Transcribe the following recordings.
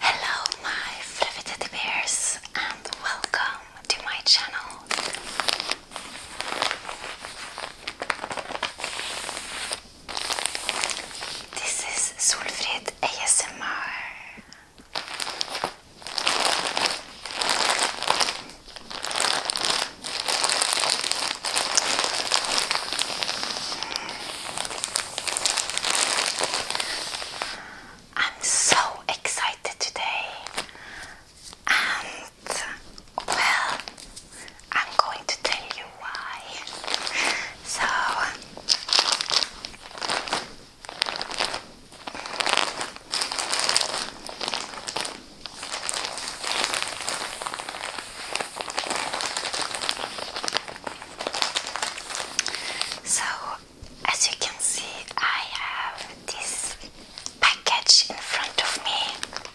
Hello, my fluffy teddy bears, and welcome to my channel. This is Solfrid ASMR. I'm so excited today, and well, I'm going to tell you why. So so, as you can see, I have this package in front of me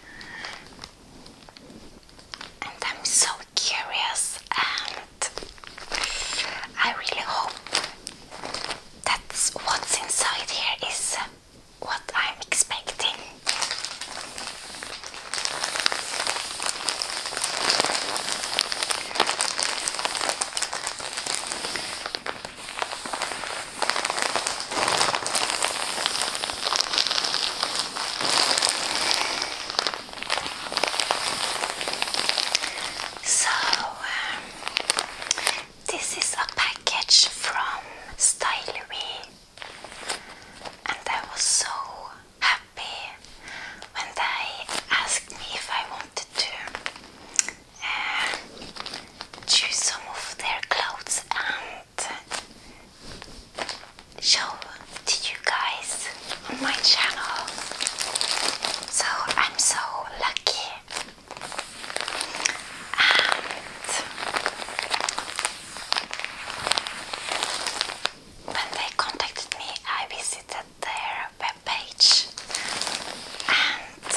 and I'm so curious, and I really hope that what's inside here is what I'm expecting. So, um, this is a package from Stylery, and I was so happy when they asked me if I wanted to uh, choose some of their clothes and show to you guys on my channel. So I'm so lucky. when they contacted me, I visited their webpage and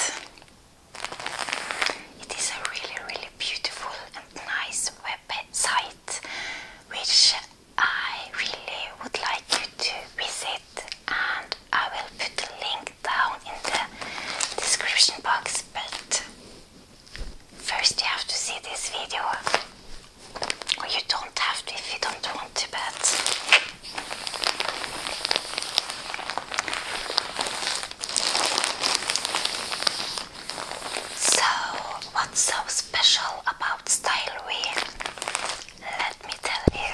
it is a really really beautiful and nice website which I really would like you to visit, and I will put the link down in the description box. But first, you have to see this video, you don't have to if you don't want to, but so what's so special about style wheel? Let me tell you.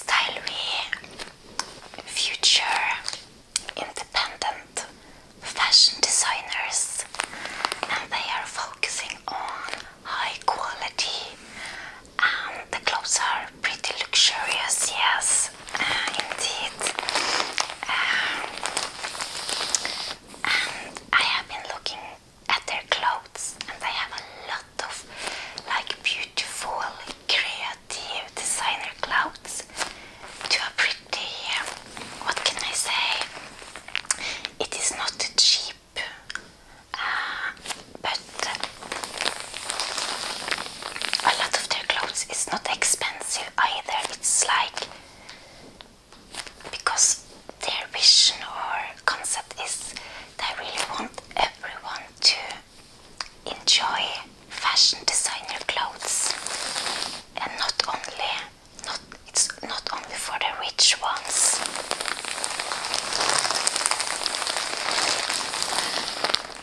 Style future independent fashion designers and they are focusing on high quality and the clothes are pretty luxurious, yes, uh, indeed. Um, and I have been looking at their clothes, and they have a lot of like beautiful, creative designer clothes to a pretty. What can I say? It is not cheap. Uh, but a lot of their clothes is not expensive either. It's like because their vision or concept is they really want everyone to enjoy fashion designer clothes and not only not it's not only for the rich ones um,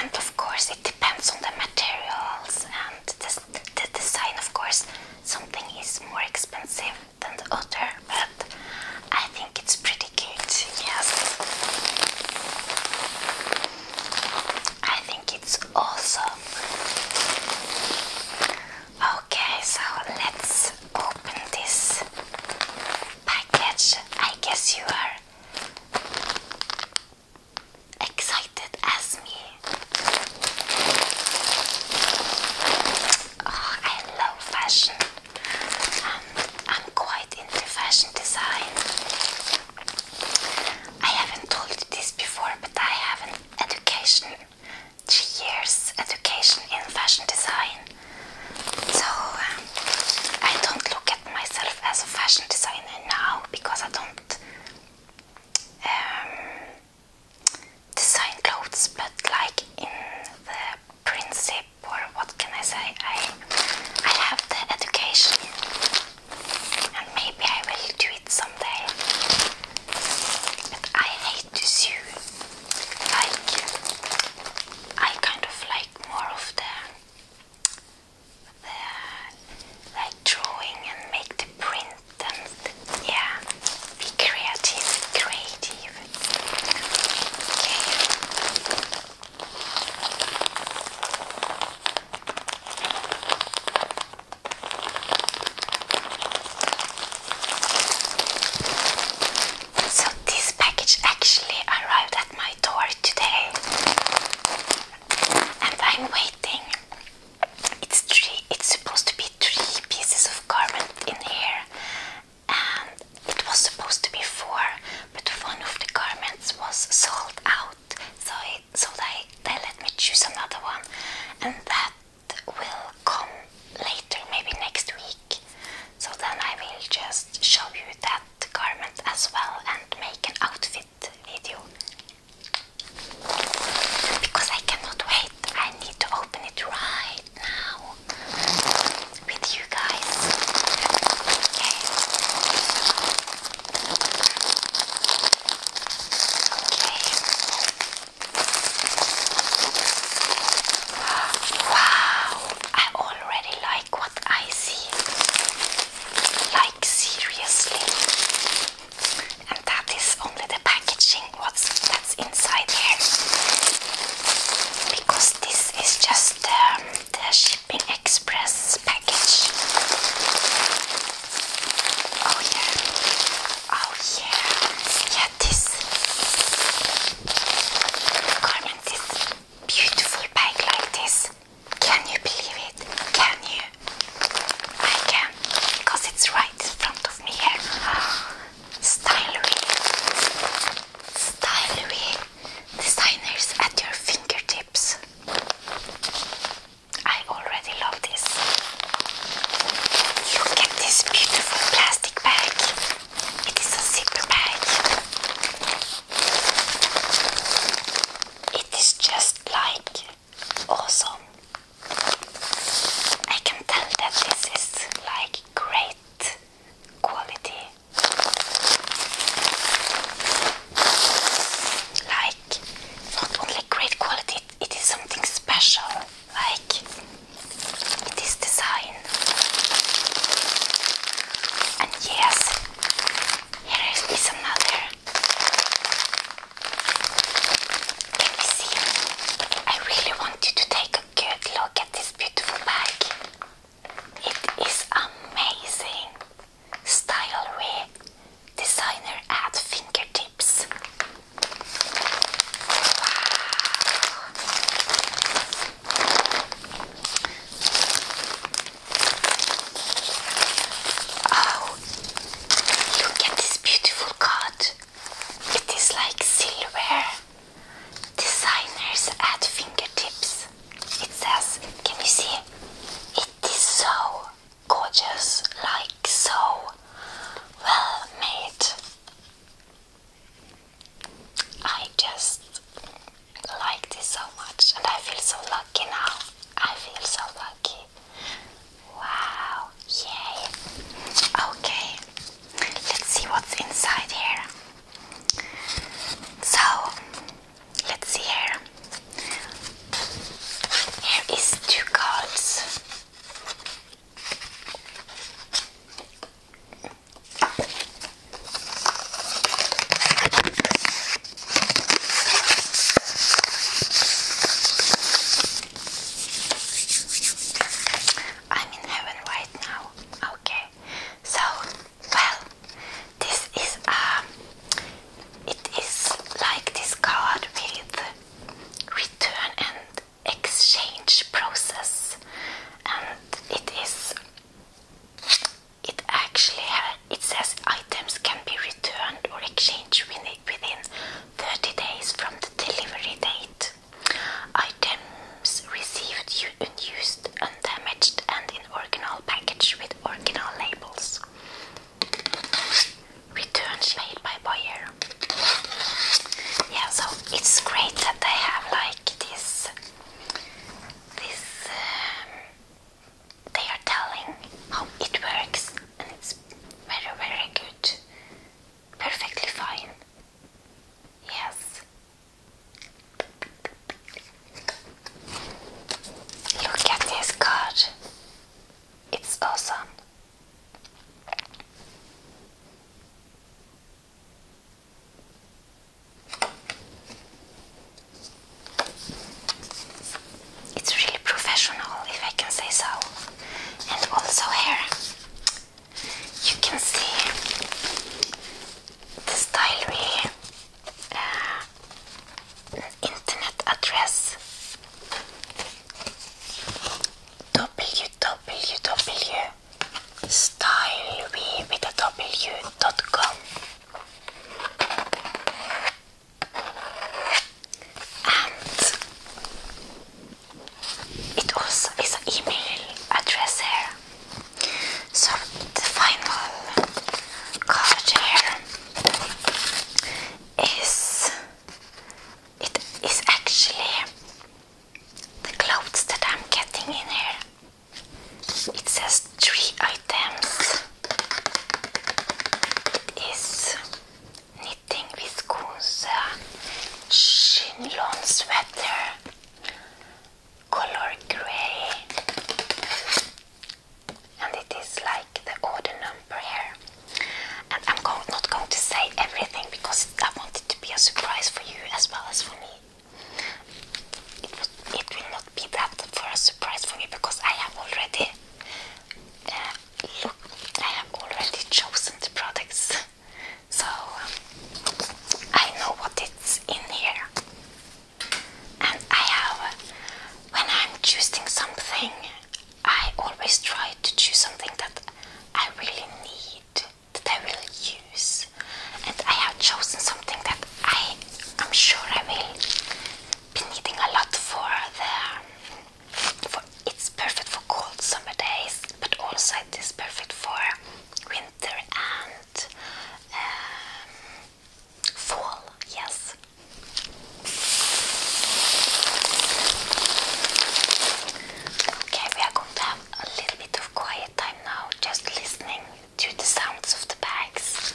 and of course, it depends on the materials and the, the design. Of course, something is more expensive than the other, but I think it's pretty cute. Yes, I think it's awesome. Okay, so let's open this package I guess you are excited as me. Oh, I love fashion. Um, I'm quite into fashion design. I haven't told this before, but I have an education, three years education in fashion design. So um, I don't look at myself as a fashion designer now because I don't um, design clothes, but like in the principle, or what can I say? I I have the education, and maybe I will do it someday. But I hate to sew. Like I kind of like more of the, the like drawing and make the print and yeah, be creative, creative. So this package actually arrived my door today and I'm waiting. It's three it's supposed to be three pieces of garment in here and it was supposed to be four but one of the garments was sold out so it, so they, they let me choose another one and that will come later maybe next week so then I will just show you that the garment as well and make an outfit video because I cannot wait. I need to open it right now with you guys. Okay. Okay. Wow! I already like like what I see, like seriously. And that is only the packaging, what's that's inside here, because this is just um, the shipping express package. Oh yeah, oh yeah, yeah this garment is beautiful bike like this. Can you believe it? Can you? I can, because it's right in front of me here. Stylery. Stylery. Designers at your fingertips. I already love this. Look at this beautiful plastic bag. It is a zipper bag. It is just like awesome. I can tell that this is like great quality. Like not only great quality, it is something special. Like it is design and yes, here is another. Can you see? I really want you to take a good look at this beautiful bag. It is amazing. Stylewear designer at fingertips. Wow. Oh, look at this beautiful card. It is like silver. Designers at fingertips. It says, can you see? It is so gorgeous, like so well made. I just like this so much and I feel so lucky now. I feel so lucky. Wow, yay! Okay, let's see what's inside here. So, let's see here. Here is two cards. I'm in heaven right now. Okay. So, well, this is um, it is like this card with return and exchange process, and it is it actually it says items can be returned or exchanged within 30 days from the delivery date. Items received unused, undamaged, and in original package with original labels. Returns made by buyer. Yeah, so it's great that they have like this this um, they are telling how it works and it's very very good perfectly fine yes look at this card it's awesome it's really professional, if I can say so. And also here, you can see the style really, uh, internet address www style with a w dot com. And it also is an email address here. So the final card here is it is actually the clothes that I'm getting in here. It says three items. It is knitting with viscose chignilon sweater, color grey, and it is like the order number here. And I'm not going to say everything because I want it to be a surprise for you as well as for me it, will not be that for a surprise for me because I have already uh, I have already chosen the products, so um, I know what it's in here. And I have, when I'm choosing something, I always try to choose something that I really need that I will use, and I have chosen something that I am sure I will be needing a lot for There, For it's perfect for cold summer days, but also it is perfect for winter and um, fall. Yes. Okay, we are going to a little bit of quiet time now, just listening to the sounds of the bags.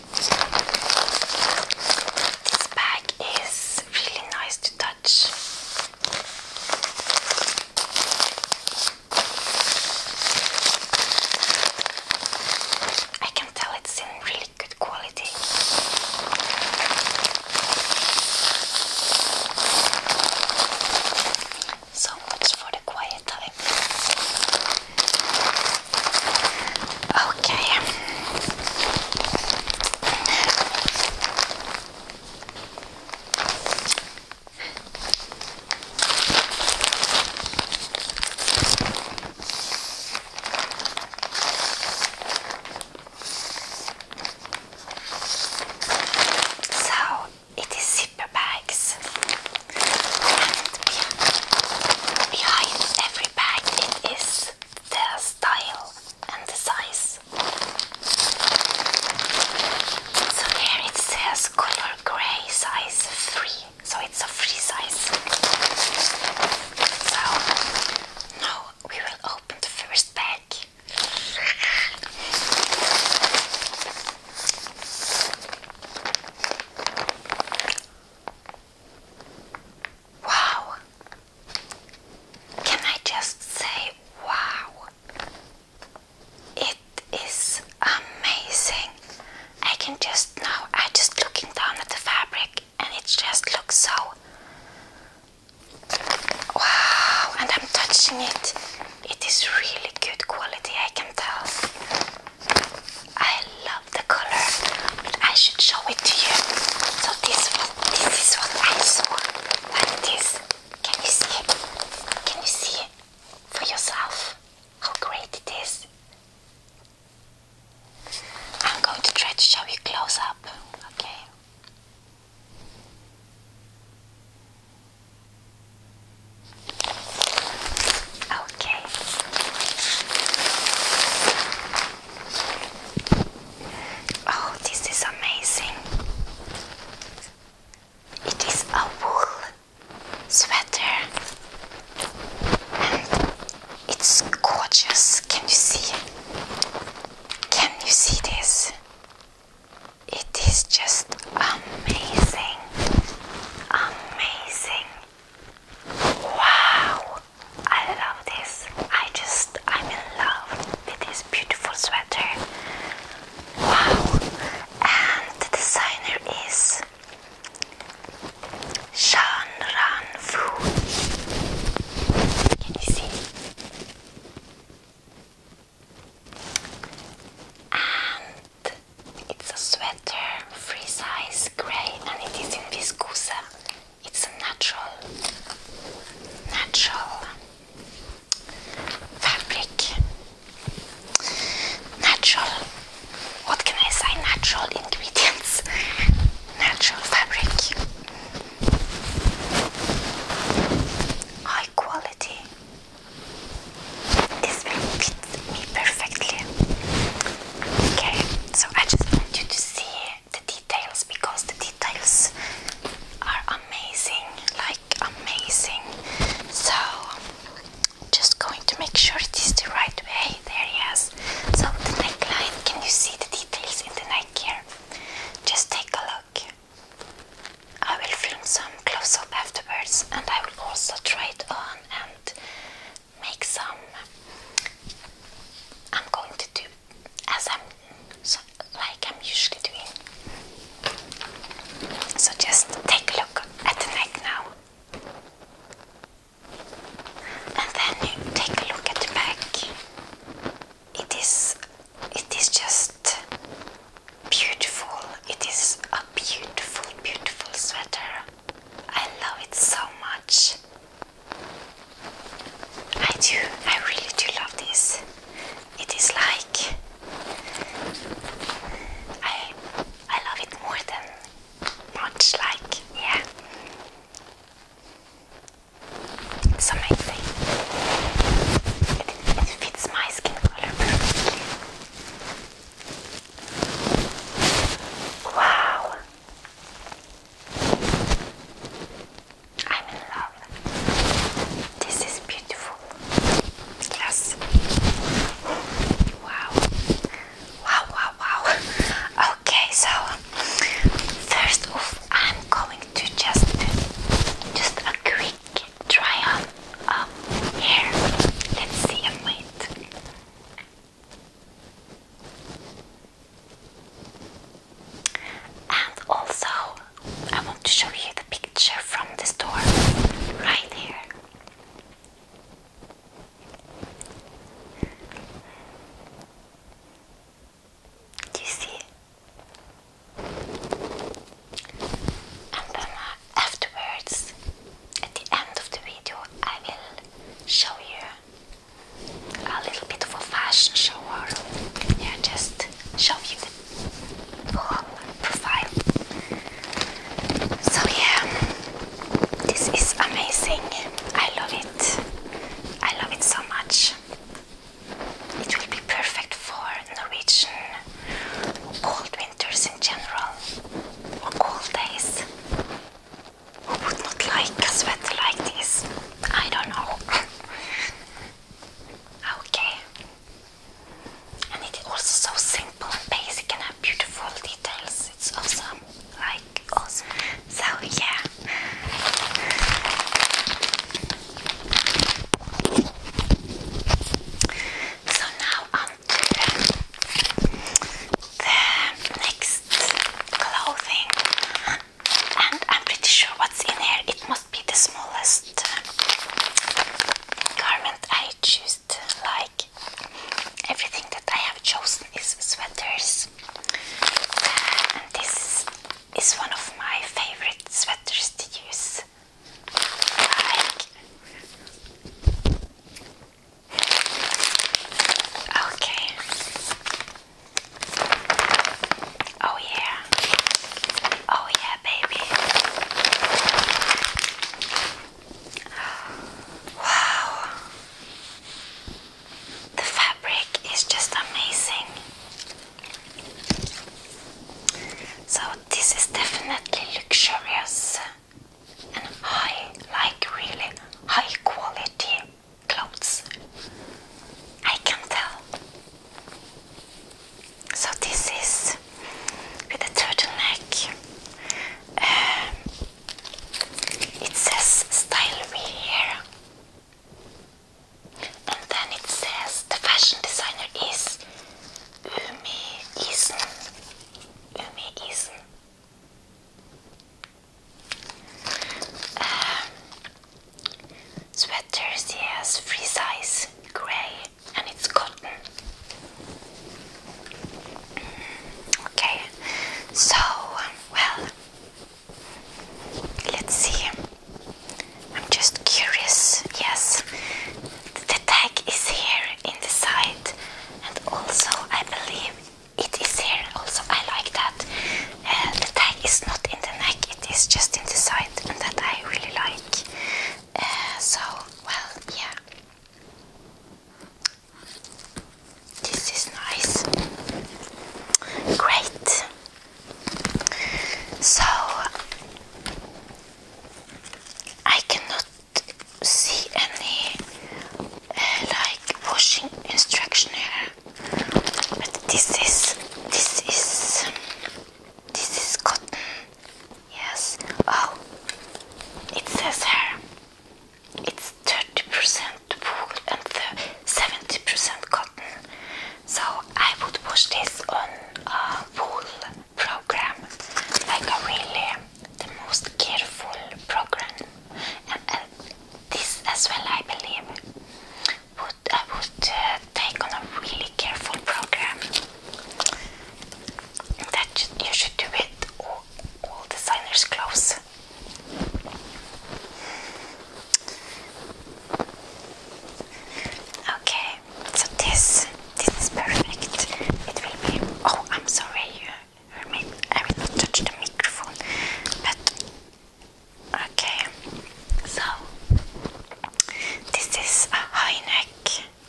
This bag is really nice to touch. I can tell it's in really good quality. So much for the quiet time. Okay. So it is zipper bags behind every bag it is the style and the size. So here it says color grey size 3, so it's a free size. So now we will open the first bag. Wow! Can I just say wow? It is amazing. I can just now, I just looking down at the fabric and it just looks so wow and I'm touching it. It is really good quality I can tell. I love the color, but I should show it to you. So this one, this is what I saw, like this. Can you see it? Can you see it for yourself? How great it is! I'm going to try to show you close up. Okay. Oh, Okay. Oh, this is amazing. It is a wool sweater and it's gorgeous. Can you see? Can you see this? It is just amazing. Amazing. Wow! I love this. I just, I'm in love with this beautiful sweater. Wow! And the designer is Shan Fu. Can you see? And it's a sweater, free size, grey, and it is in viscosa. It's a natural, natural fabric. Natural. What can I say? Natural ingredients. Natural fabric. High quality. This will me perfectly. Okay, so I just want you to see the details because the details are amazing, like amazing. So just going to make sure it is the right way. There, yes. So the neckline, can you see the details in the neck here? Just take a look. I will film some close up afterwards and I will also try it on and make some. I'm going to do as I'm so, like I'm usually doing. So just take a look at the neck now, and then take a look at the back. It is, it is just beautiful. It is a beautiful, beautiful sweater. I love it so much. I do, I really do love this. It is like I I love it more than much like yeah. It's amazing. It, it fits my skin color perfectly. Wow. I'm in love. This is beautiful. Yes. Wow. Wow, wow, wow. Okay, so first off, I'm going to just do just a quick try on of um, hair. Let's see and wait. And also, I want to show you the picture from the store right here. Do you see? And then uh, afterwards, at the end of the video I will show you a little bit of a fashion show or yeah, just show you the whole profile. So yeah, this is amazing. I love it. I love it so much. It will be perfect for Norwegian cold winters in general or cold days. Who would not like a sweater like this? I don't know. okay. And it's also so simple and basic and have beautiful details. It's awesome. Like awesome. So yeah. So now the next clothing and I'm pretty sure what's in here. It must be the smallest um, garment I choose like. Everything that I have chosen is sweaters. Uh, and this is one of my favorite sweaters to use. Okay. Oh yeah. Oh yeah, baby. Wow. The fabric is just amazing. So this is definitely luxurious and I like really high quality clothes. I can tell. So this is with a turtle neck. Um, it says Style V here. And then it says the fashion designer is Umi Isen. Umi Isen. Um, sweaters, yes, free size, grey, and it's cotton. Mm, okay, so, um, well, let's see. I'm just curious, yes. The tag is here in the side, and also, I believe it is here. Also, I like that uh, the tag is not in the neck; it is just in the side, and that I really like. Uh, so, well, yeah. This is nice. Great. So I cannot see any uh, like washing instruction here. But this is this is um, this is cotton. Yes. Oh, it says here it's thirty percent wool and seventy percent cotton. So I would wash this on a wool program, like a really the most careful program and uh, this as well I believe would, I uh, would uh, take on a really careful program that you should do it all, all designers close. Okay, so this this is perfect. It will be. Oh, I'm sorry. I mean, I will not touch the microphone, but okay. So this is a high neck,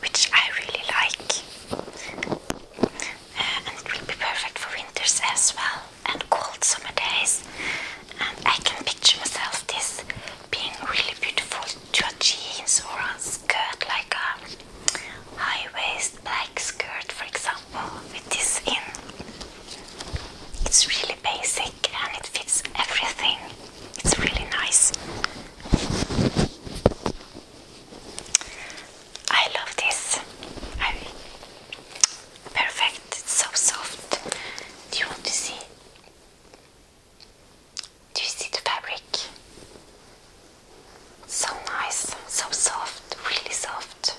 which I really like, uh, and it will be perfect for winters as well and cold summer days. And I can picture myself this being really beautiful to your jeans or a skirt, like a high waist black skirt, for example, with this in. It's really basic and it fits everything. It's really nice. I love this. perfect. It's so soft. Do you want to see? Do you see the fabric? So nice, so soft, really soft.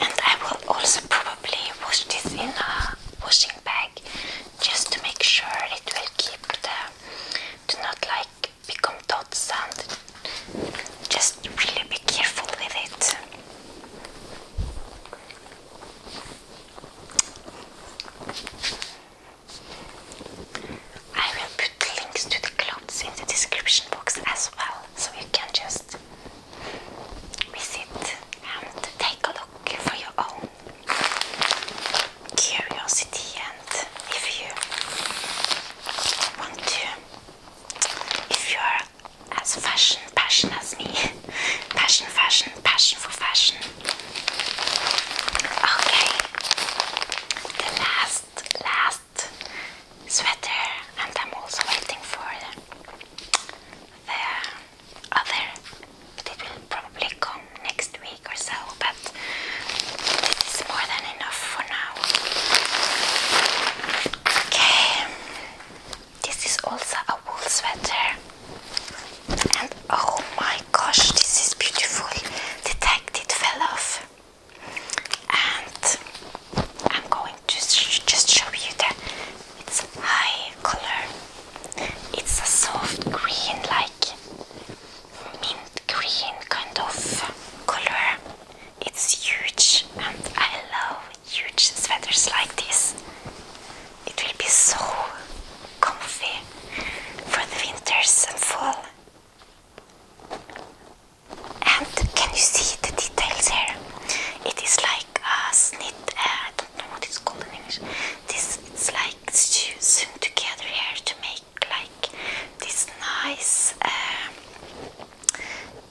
And I will also probably wash this in a washing bag just to make sure it will keep the do not like become dots and just really be careful with it. I will put links to the clothes in the description box as well, so you can just visit and take a look for your own curiosity and if you want to if you are as fashion passion as me passion fashion passion for fashion Okay, the last, last sweater, and I'm also waiting for the other, but it will probably come next week or so. But this is more than enough for now. Okay, this is also a wool sweater. And oh my gosh, this is beautiful. The tag did fell off. And I'm going to just show you that it's high color. It's a soft green, like mint green kind of color. It's huge, and I love huge sweaters like this. It will be so comfy for the winters and fall. And can you see the details here? It is like a snit, uh, I don't know what it's called in English. This It's like sewn together here to make like this nice uh,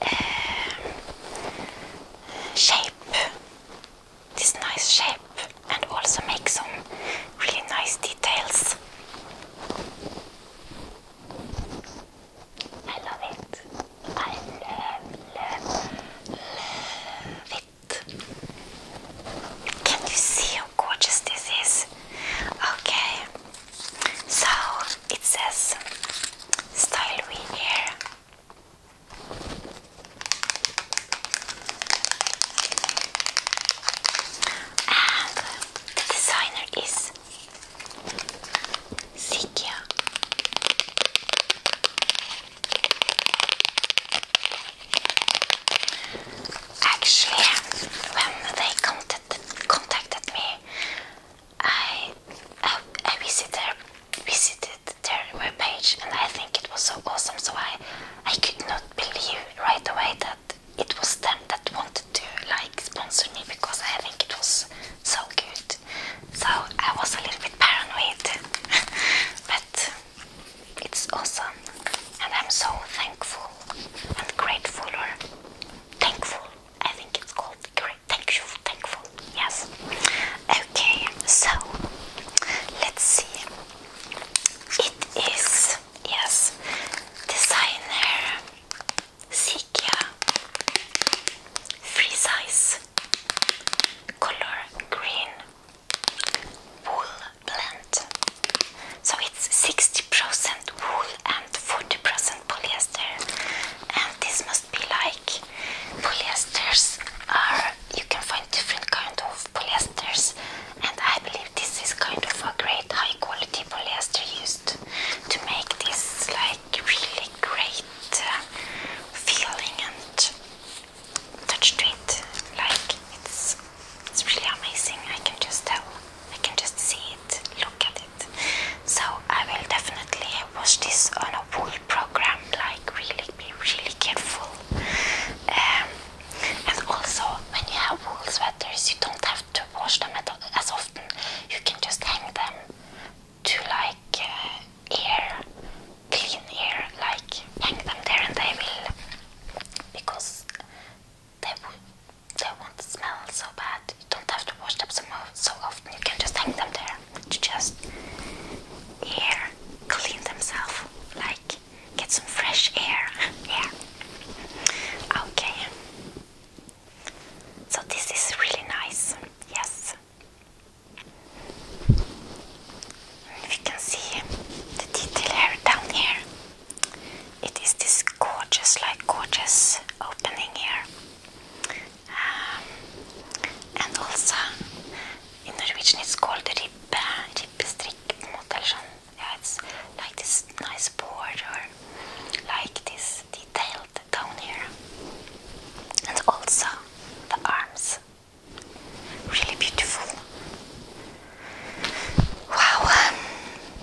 uh, shape this nice shape and also make some really nice details. I love it. I love, love, it. Can you see how gorgeous this is? Okay, so it says style we here. And the designer is Sikia. Actually, when they contacted, me, I, I, I visited, visited their web and I think it was so awesome. So I, I could not believe right away that it was them that wanted to like sponsor me because I think it was so good. So I was a little bit paranoid, but it's awesome, and I'm so thankful and grateful or thankful. I think it's called great. Thank you, thankful. Yes. Okay, so let's see it is, yes, designer Sikia free size color green wool blend. So it's 60% wool and 40% polyester, and this must be like polyesters are you can find different kind of polyesters and I believe this is kind of a great high quality polyester used to make this like really great uh, feeling and touch to it like it's it's really amazing I can just tell I can just see it look at it so I will definitely watch this on a wool program like really be really careful um, and also, when you have wool sweaters, you don't have to wash them at all, as often. You can just hang them to like uh, air, clean air, like hang them there, and they will because they will they won't smell so bad. You don't have to wash them so so often. You can just hang them there to just air clean themselves, like get some fresh air. yeah. Okay. So this is really nice. Yes. If you can see the detail down here, it is this gorgeous, like gorgeous opening here, um, and also in Norwegian it's called the ribbestrikk på en måte, Yeah, it's like this nice border, like this detailed down here. And also the arms. Really beautiful. Wow,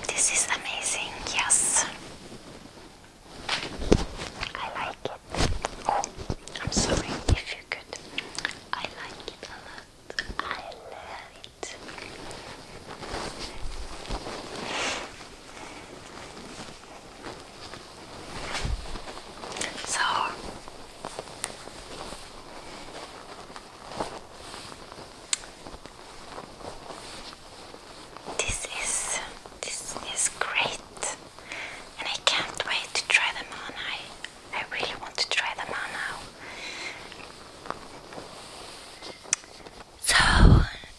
this is amazing, yes. I like it. Oh, I'm sorry if I like it a lot. I love it. So this is this is great and I can't wait to try them on. I I really want to try them out now. So,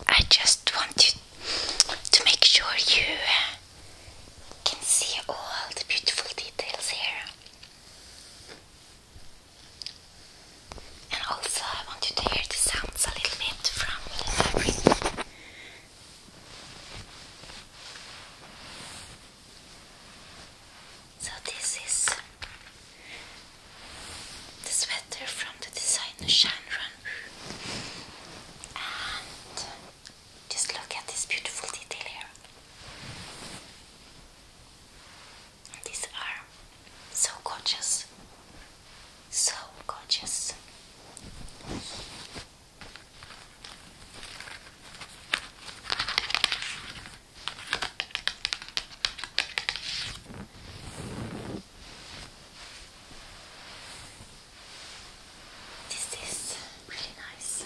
I just want you to make sure you can see all the beautiful details here. And also, I want you to hear the sounds a little bit from the fabric. So this is the sweater from the designer Shanron. And just look at this beautiful detail here. these are so gorgeous. So gorgeous. This is really nice.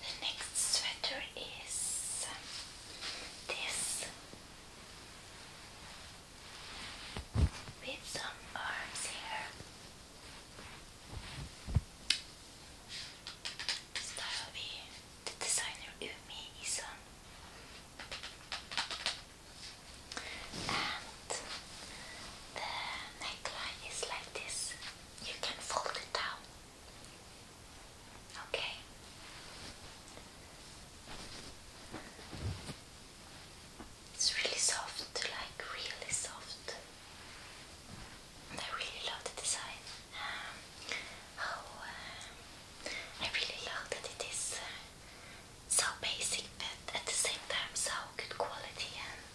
The next sweater is this with some arms here. Style B, the designer Umi Isan. And the neckline is like this. You can fold it down. Okay. It's really soft, like really soft. And I really love the design. Um, oh, um, I really love that it is uh, so basic, but at the same time so good quality and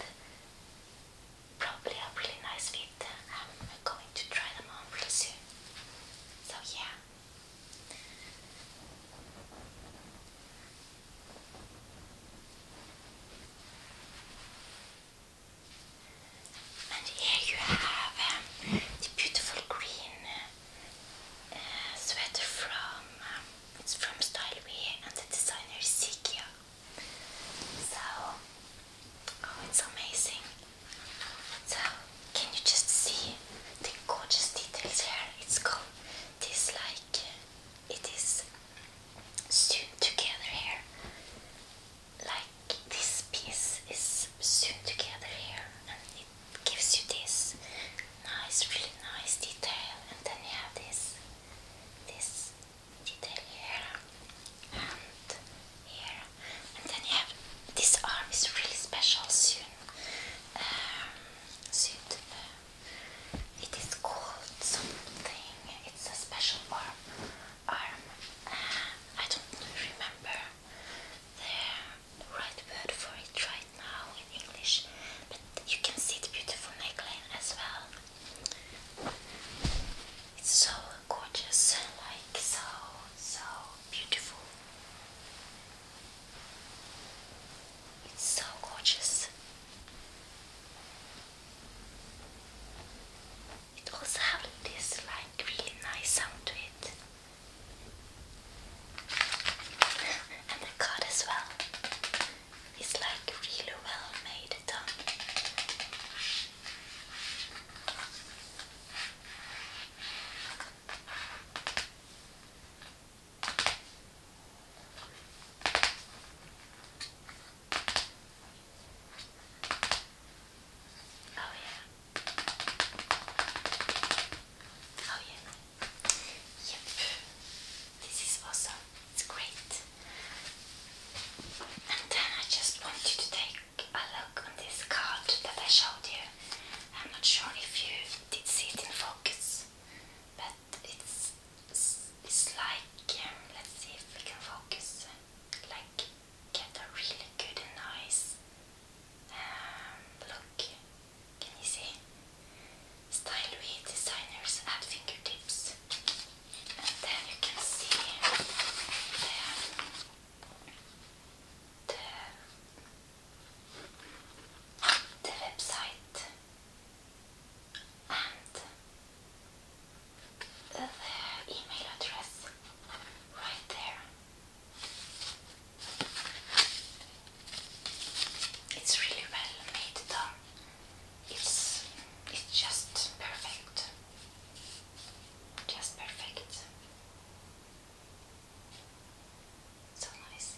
probably a really nice fit. I'm going to try them on really soon. So yeah. And here you have um, the beautiful green uh, sweater from um, it's from Styleway and the designer is Sikia. So oh it's amazing. So can you just see the gorgeous details here? It's called this like it is sewn together here. Like this piece is sewn together here, and it gives you this nice, really nice detail. And then you have this, this detail here, and here, and then you have this arm is really special sewn, um, sewn it is called something. It's a special arm. Arm. Uh, I don't remember the right word for it right now in English, but you can see the beautiful neckline as well. It's so gorgeous, like so, so beautiful. It's so gorgeous. It also has this like really nice sound to it. and the card as well. It's like really well made Oh yeah. Oh yeah. Yep. This is awesome. It's great. And then I just want you to take a look on this card that I showed you. I'm not sure if you did see it in focus, but it's it's like um, let's see if we can focus like get a really good and nice um, look. Can you see? Style designers at fingertips, and then you can see the um, the, the website and the email address right there. It's really well made though. It's it's just perfect. Just perfect. So nice.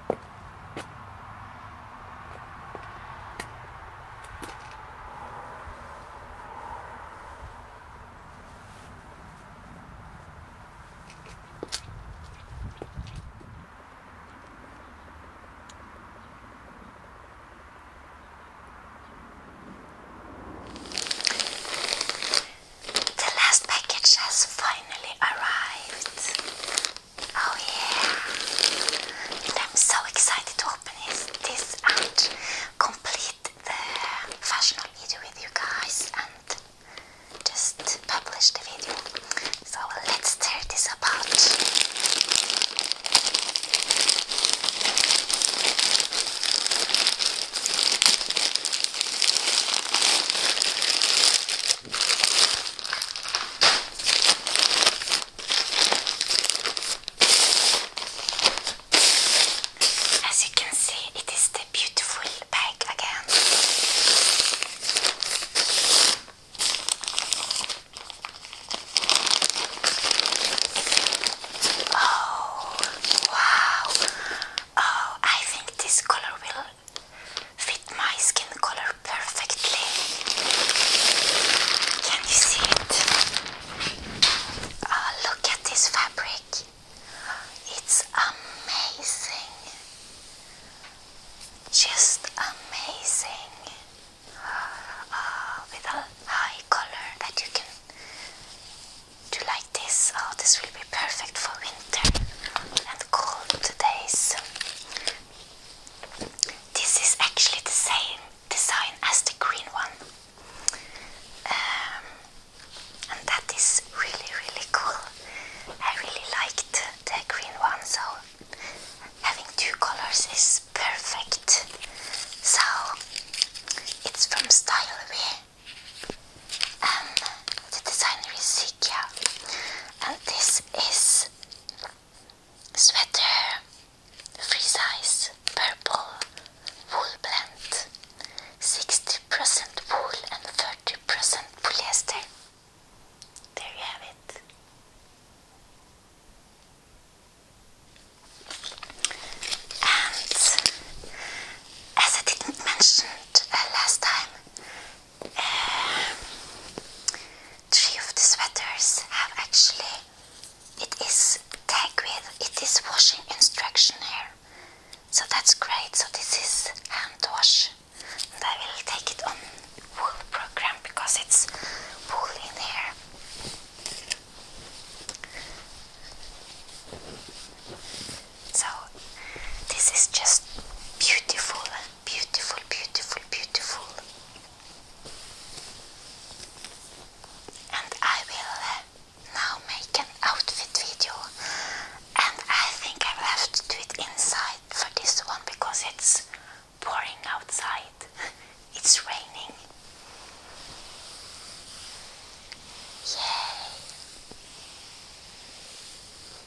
The last package has finally arrived. Oh yeah! I'm so excited to open this and complete the fashionable video with you guys and just publish the video. So let's tear this apart. As you can see, it is the beautiful bag again. Oh, wow! Oh, I think this color will fit my skin color perfectly. Can you see it? Oh, look at this fabric. It's amazing. Just amazing. Uh, with a high color that you can do like this. Oh, this will be perfect for winter and cold days. This is actually the same design as the green one, um, and that is really, really cool. I really liked the green one, so having two colors is perfect. So it's from Styleway. And um, the designer is Sikia. And this is Sweater, free size, purple, wool blend, 60% wool and 30% polyester. There you have it. And as I didn't mention uh, last time, um, three of the sweaters have actually it is tagged with it is washing instruction here so that's great so this is hand wash and I will take it on wool program because it's wool in here so this is just beautiful Beautiful, beautiful, beautiful. And I will uh, now make an outfit video. And I think I will have to do it inside for this one because it's pouring outside. it's raining. Yay!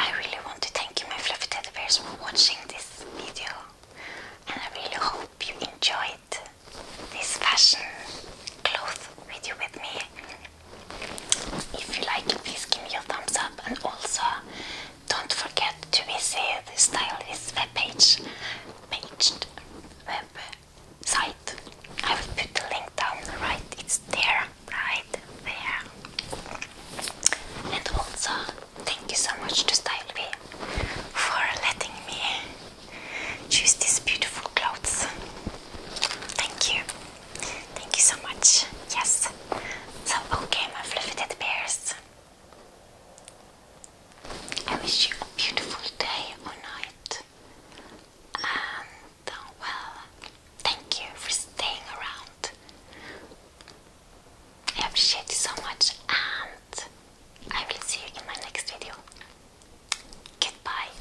I really want to thank you, my fluffy teddy bears, for watching this video, and I really hope you enjoyed this fashion cloth video with me. If you like it, please give me a thumbs up, and also don't forget to visit the stylist web page, paged web I will put the link down right. It's there, right there. And also, thank you so much to StyleV for letting me choose these beautiful clothes. Thank you. Thank you so much. Yes. So, okay, my fluffy teddy bears. I wish you a beautiful day or night. And, uh, well, thank you for staying around. I appreciate you so much, and I will see you in my next video. Goodbye.